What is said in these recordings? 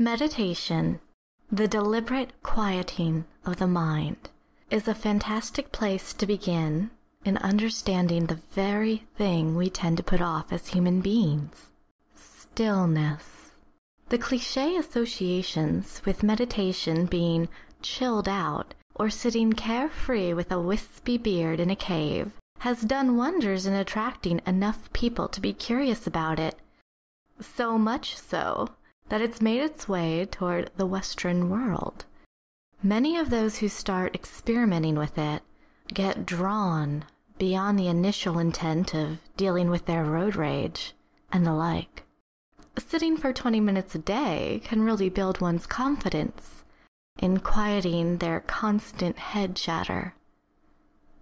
Meditation, the deliberate quieting of the mind, is a fantastic place to begin in understanding the very thing we tend to put off as human beings stillness. The cliche associations with meditation being chilled out, or sitting carefree with a wispy beard in a cave, has done wonders in attracting enough people to be curious about it. So much so that it's made its way toward the Western world. Many of those who start experimenting with it get drawn beyond the initial intent of dealing with their road rage and the like. Sitting for 20 minutes a day can really build one's confidence in quieting their constant head chatter.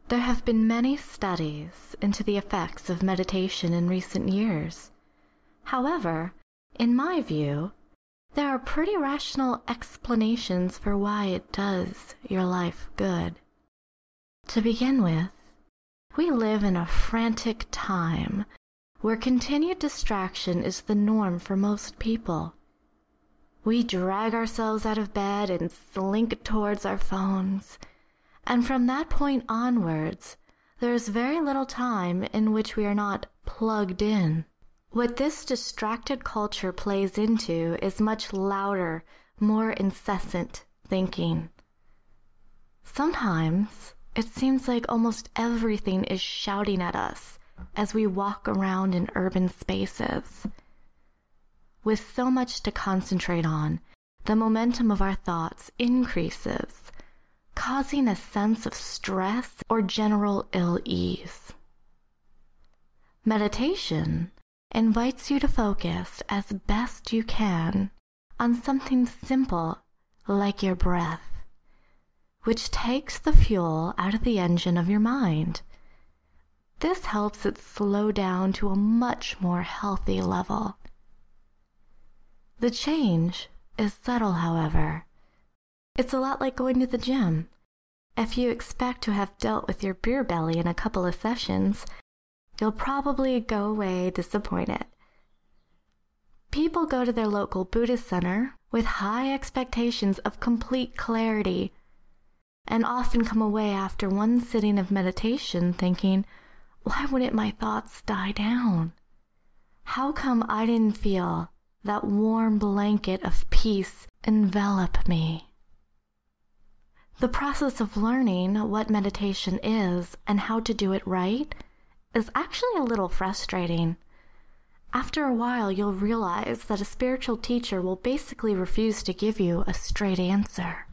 There have been many studies into the effects of meditation in recent years. However, in my view, there are pretty rational explanations for why it does your life good. To begin with, we live in a frantic time where continued distraction is the norm for most people. We drag ourselves out of bed and slink towards our phones, and from that point onwards, there is very little time in which we are not plugged in. What this distracted culture plays into is much louder, more incessant thinking. Sometimes it seems like almost everything is shouting at us as we walk around in urban spaces. With so much to concentrate on, the momentum of our thoughts increases, causing a sense of stress or general ill ease. Meditation invites you to focus as best you can on something simple like your breath, which takes the fuel out of the engine of your mind. This helps it slow down to a much more healthy level. The change is subtle, however. It's a lot like going to the gym. If you expect to have dealt with your beer belly in a couple of sessions, You'll probably go away disappointed. People go to their local Buddhist center with high expectations of complete clarity and often come away after one sitting of meditation thinking, why wouldn't my thoughts die down? How come I didn't feel that warm blanket of peace envelop me? The process of learning what meditation is and how to do it right is actually a little frustrating. After a while, you'll realize that a spiritual teacher will basically refuse to give you a straight answer.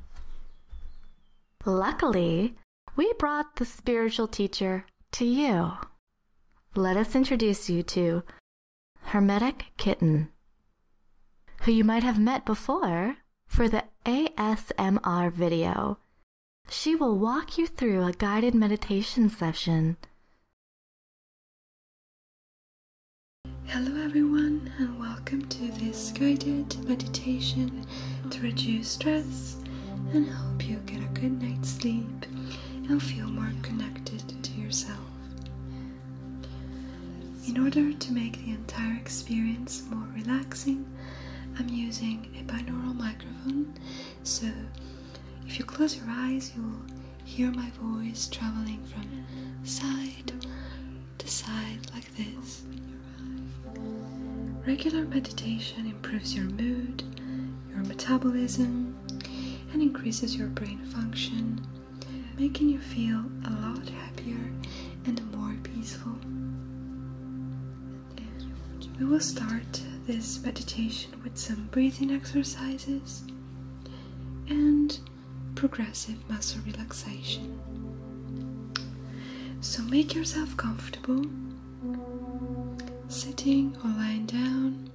Luckily, we brought the spiritual teacher to you. Let us introduce you to Hermetic Kitten, who you might have met before for the ASMR video she will walk you through a guided meditation session. Hello, everyone, and welcome to this guided meditation to reduce stress and help you get a good night's sleep and feel more connected to yourself. In order to make the entire experience more relaxing, I'm using a binaural microphone. So if you close your eyes, you'll hear my voice traveling from side to side like this. Regular meditation improves your mood, your metabolism, and increases your brain function, making you feel a lot happier and more peaceful. We will start this meditation with some breathing exercises and progressive muscle relaxation. So make yourself comfortable, sitting or lying down,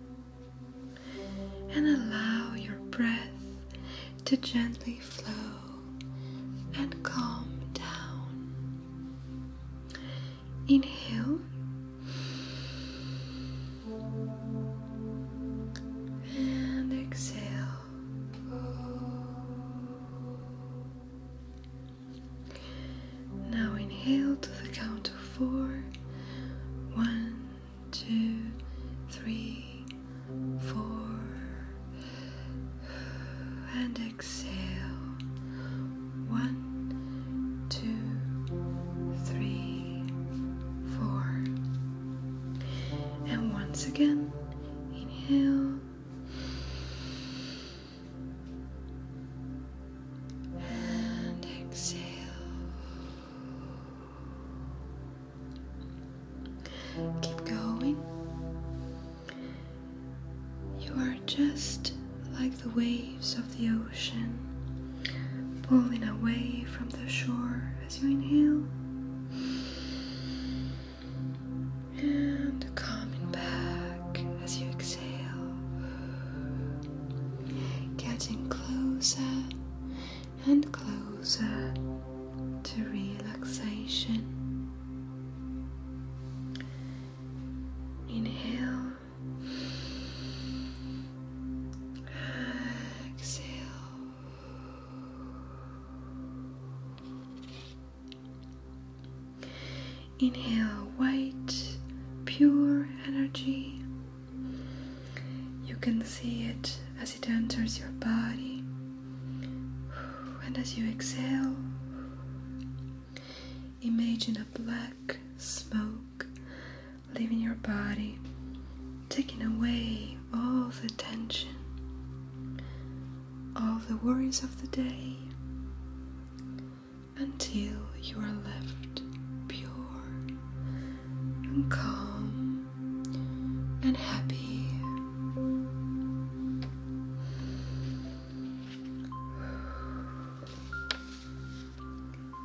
and allow your breath to gently flow and calm down. Inhale and exhale. Now inhale to the count of four. One, two, three, four and exhale. One, two, three, four. And once again, inhale. And exhale. Keep going. You are just like the waves of the ocean, pulling away from the shore as you inhale and coming back as you exhale, getting closer and closer to relaxation. Inhale. Exhale. Inhale white, pure energy. You can see it as it enters your body, and as you exhale, Imagine a black smoke leaving your body, taking away all the tension, all the worries of the day, until you are left pure and calm and happy.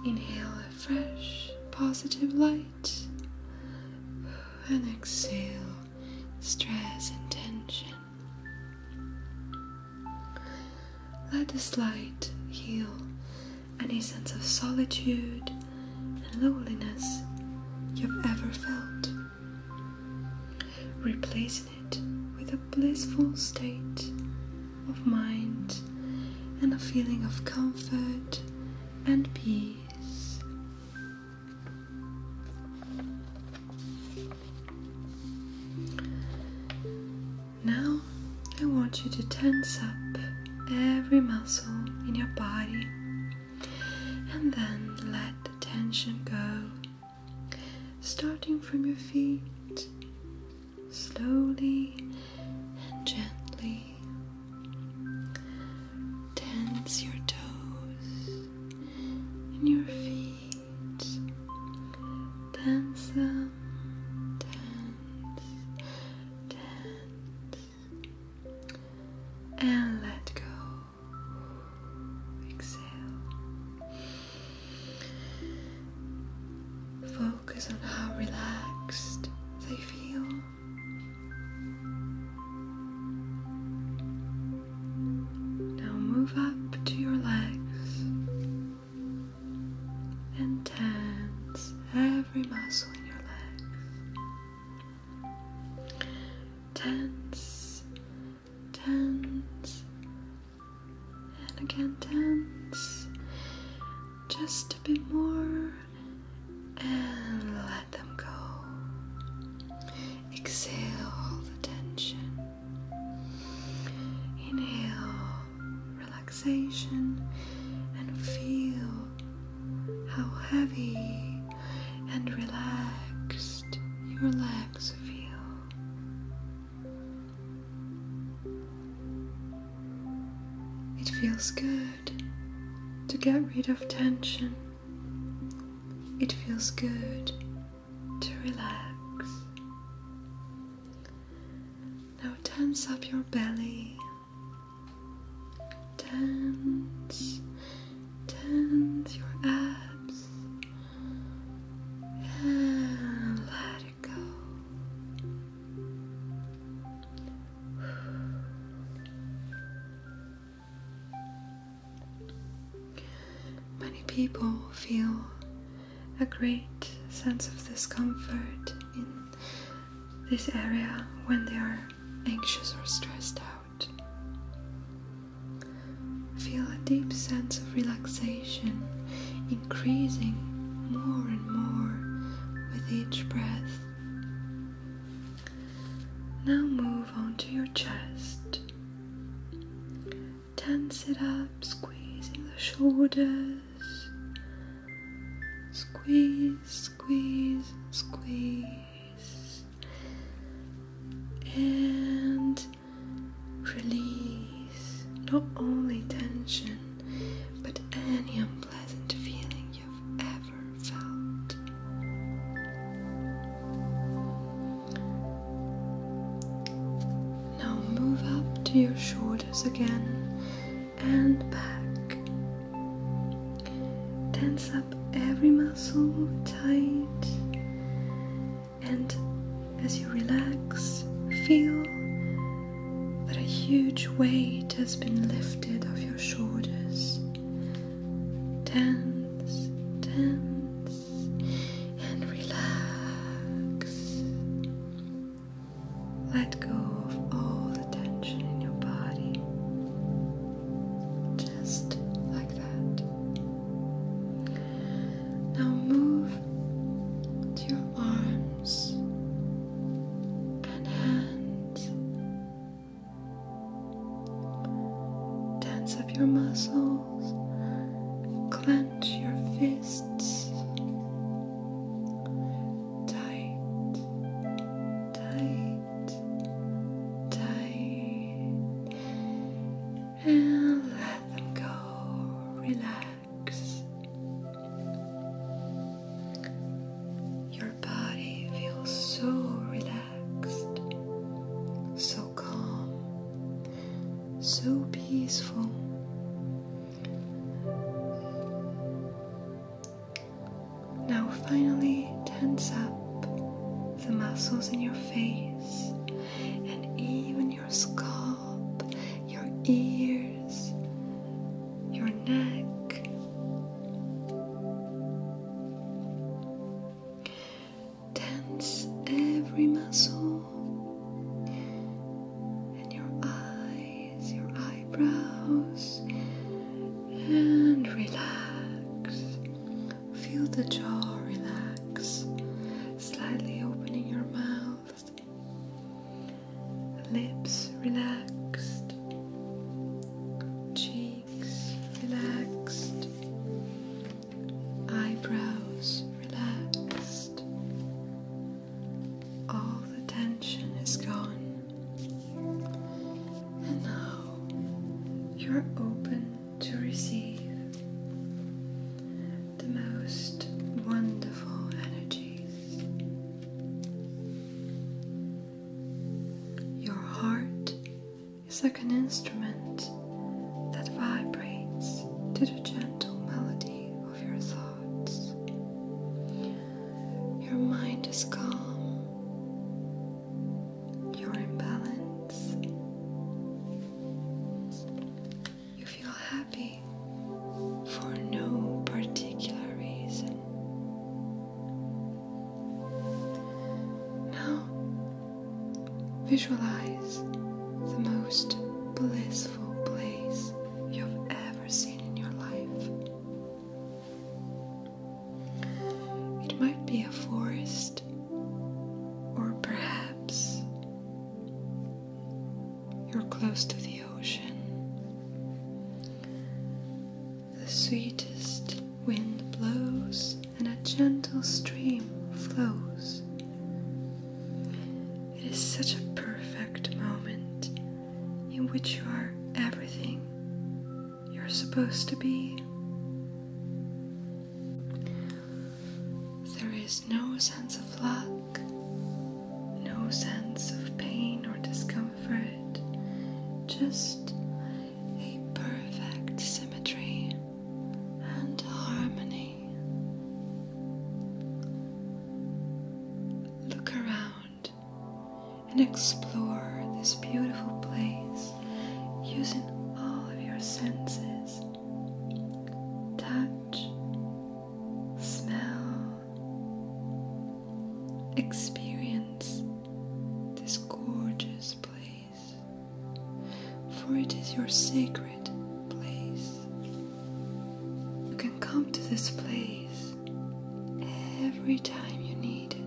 Inhale a fresh, positive light and exhale stress and tension. Let this light heal any sense of solitude and loneliness you've ever felt replacing it with a blissful state of mind and a feeling of comfort and peace. Now I want you to tense up every muscle in your body and then let the tension go starting from your feet, slowly and gently. Tense your toes and your feet, tense them, tense, tense, and let go. Exhale. Focus on how relaxed they feel. Now move up to your legs and tense every muscle in your legs. Tense tense, and again tense. Just a bit more, and let them go. Exhale all the tension. Inhale relaxation and feel how heavy and relaxed your legs feel. It feels good to get rid of tension. It feels good to relax. Now tense up your belly. Tense, tense your abs, let it go. Many people feel a great sense of discomfort in this area when they are anxious or stressed out. Feel a deep sense of relaxation increasing more and more with each breath. Now move on to your chest. Tense it up, squeezing the shoulders. Squeeze, squeeze, squeeze. And release not only tension but any unpleasant feeling you've ever felt. Now move up to your shoulders again and back. Tense up every muscle tight and as you relax, feel that a huge weight has been lifted off your shoulders. Tense, tense, and relax. Let go of all the tension in your body. Just like that. Now move to your arms and hands. Tense up your muscles, clench your fists tight, tight, tight and let them go. Relax. Your body feels so relaxed, so calm, so peaceful. Now, finally, tense up the muscles in your face and even your scalp, your ears, your neck. Tense every muscle and your eyes, your eyebrows, and relax. Feel the jaw relax, slightly opening your mouth, lips relaxed, cheeks relaxed, eyebrows relaxed. All the tension is gone. And now you're open to receive the most wonderful energies. Your heart is like an instrument that vibrates to the gentle melody of your thoughts. Your mind is calm. You're in balance. You feel happy for no particular reason. Now, visualize the most blissful place you've ever seen in your life. It might be a forest, or perhaps you're close to the ocean. The sweetest wind blows and a gentle stream flows. It is such a perfect moment in which you are everything you're supposed to be. There is no sense of luck, no sense of pain or discomfort, just a perfect symmetry and harmony. Look around and explore this beautiful place using all of your senses touch, smell, experience this gorgeous place, for it is your sacred place. You can come to this place every time you need it.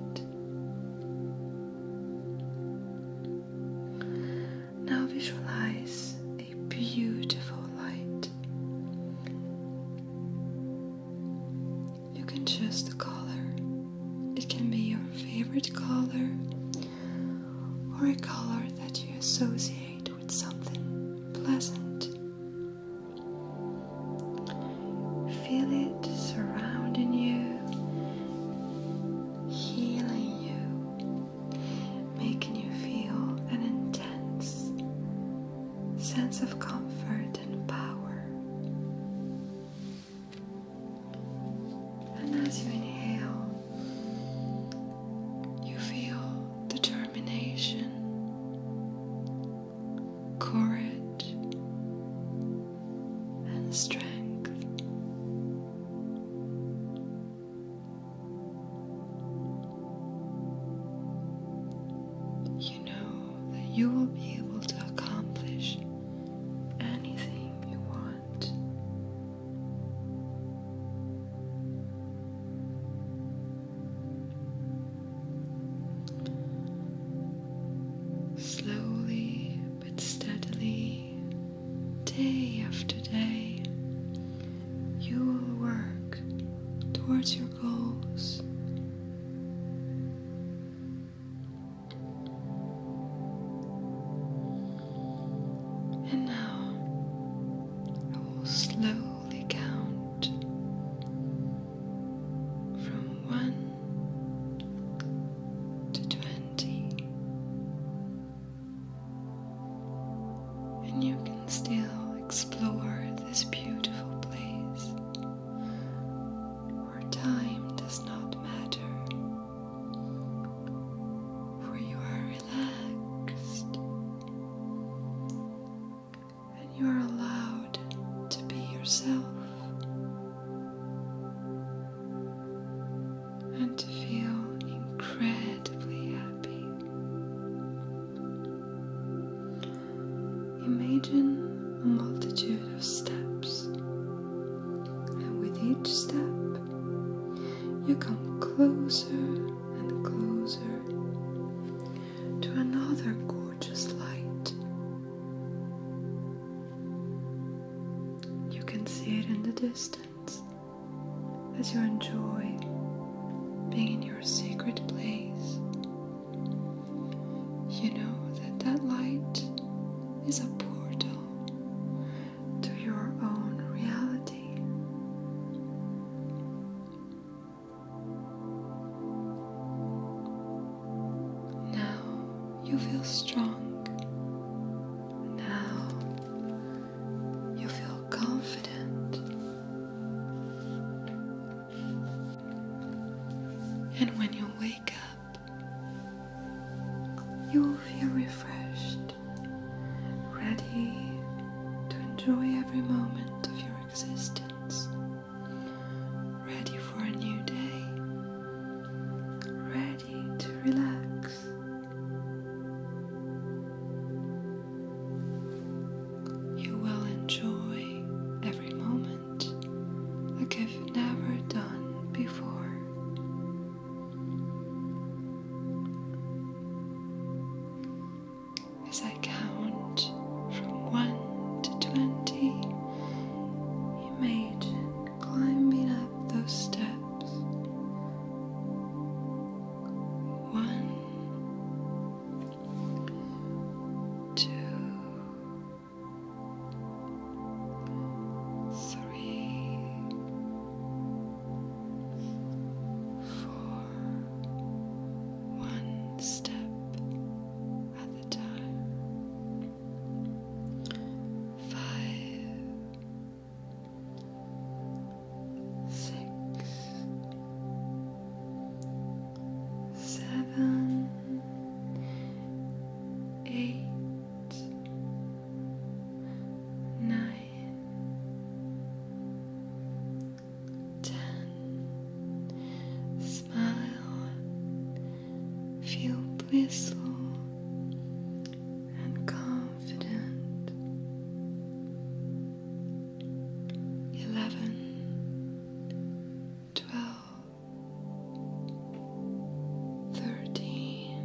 Now visualize a beautiful light. You can choose the color, it can be your favorite color or a color that you associate with something pleasant. Feel it surrounding you healing you, making you feel an intense sense of comfort and power. And as you inhale, you feel determination, courage, and strength. You know that you will be able to accomplish anything you want. Slowly but steadily, day after day, you will work towards your goals. And now I will slowly count from one to twenty and you can still explore this beautiful place where time does not matter, for you are relaxed and you are allowed to be yourself and to feel incredibly happy. Imagine a multitude of steps, and with each step, you come closer and closer to another gorgeous light. You can see it in the distance. As you enjoy being in your secret place. You know that that light is a portal to your own reality. Now, you feel strong. Now you feel confident. And when you wake up, you will feel refreshed, ready to enjoy every moment of your existence, ready for a new day, ready to relax. You will enjoy every moment like you've never done before. As I count from 1 to 20, imagine climbing up those steps. One, two, three, four, one step at the time. Five, six, seven, eight, nine, ten. Smile, feel blissful and confident. Eleven, twelve, thirteen,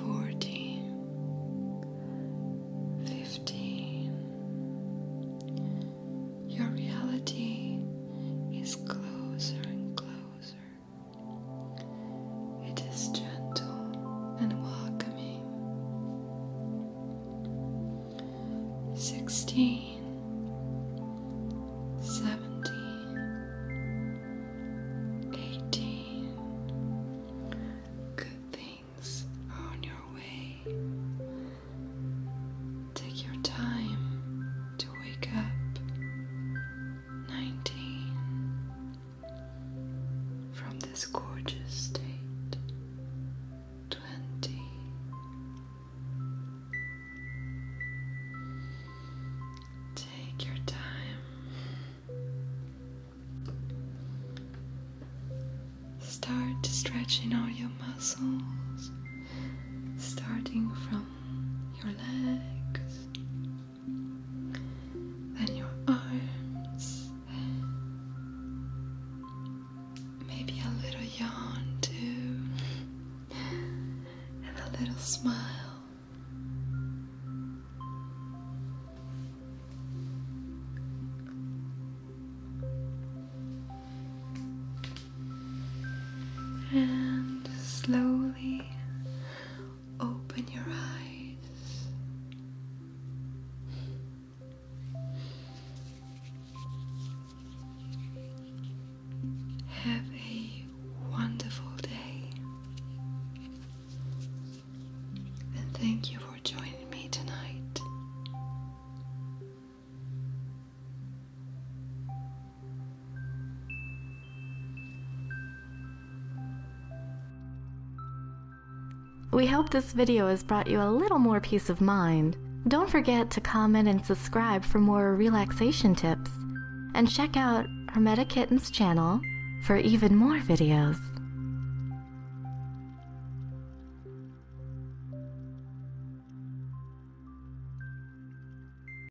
fourteen, fifteen. Your reality is closer and closer it is gentle and welcoming. 16, 17, 18. Good things are on your way. Take your time to wake up nineteen from this gorgeous state, twenty. Take your time. Start stretching all your muscles, starting from your legs, then your arms, maybe a little yawn too, and a little smile. And slowly Open your eyes. Have a wonderful day. And thank you for joining me tonight. We hope this video has brought you a little more peace of mind. Don't forget to comment and subscribe for more relaxation tips. And check out Hermeta Kitten's channel for even more videos.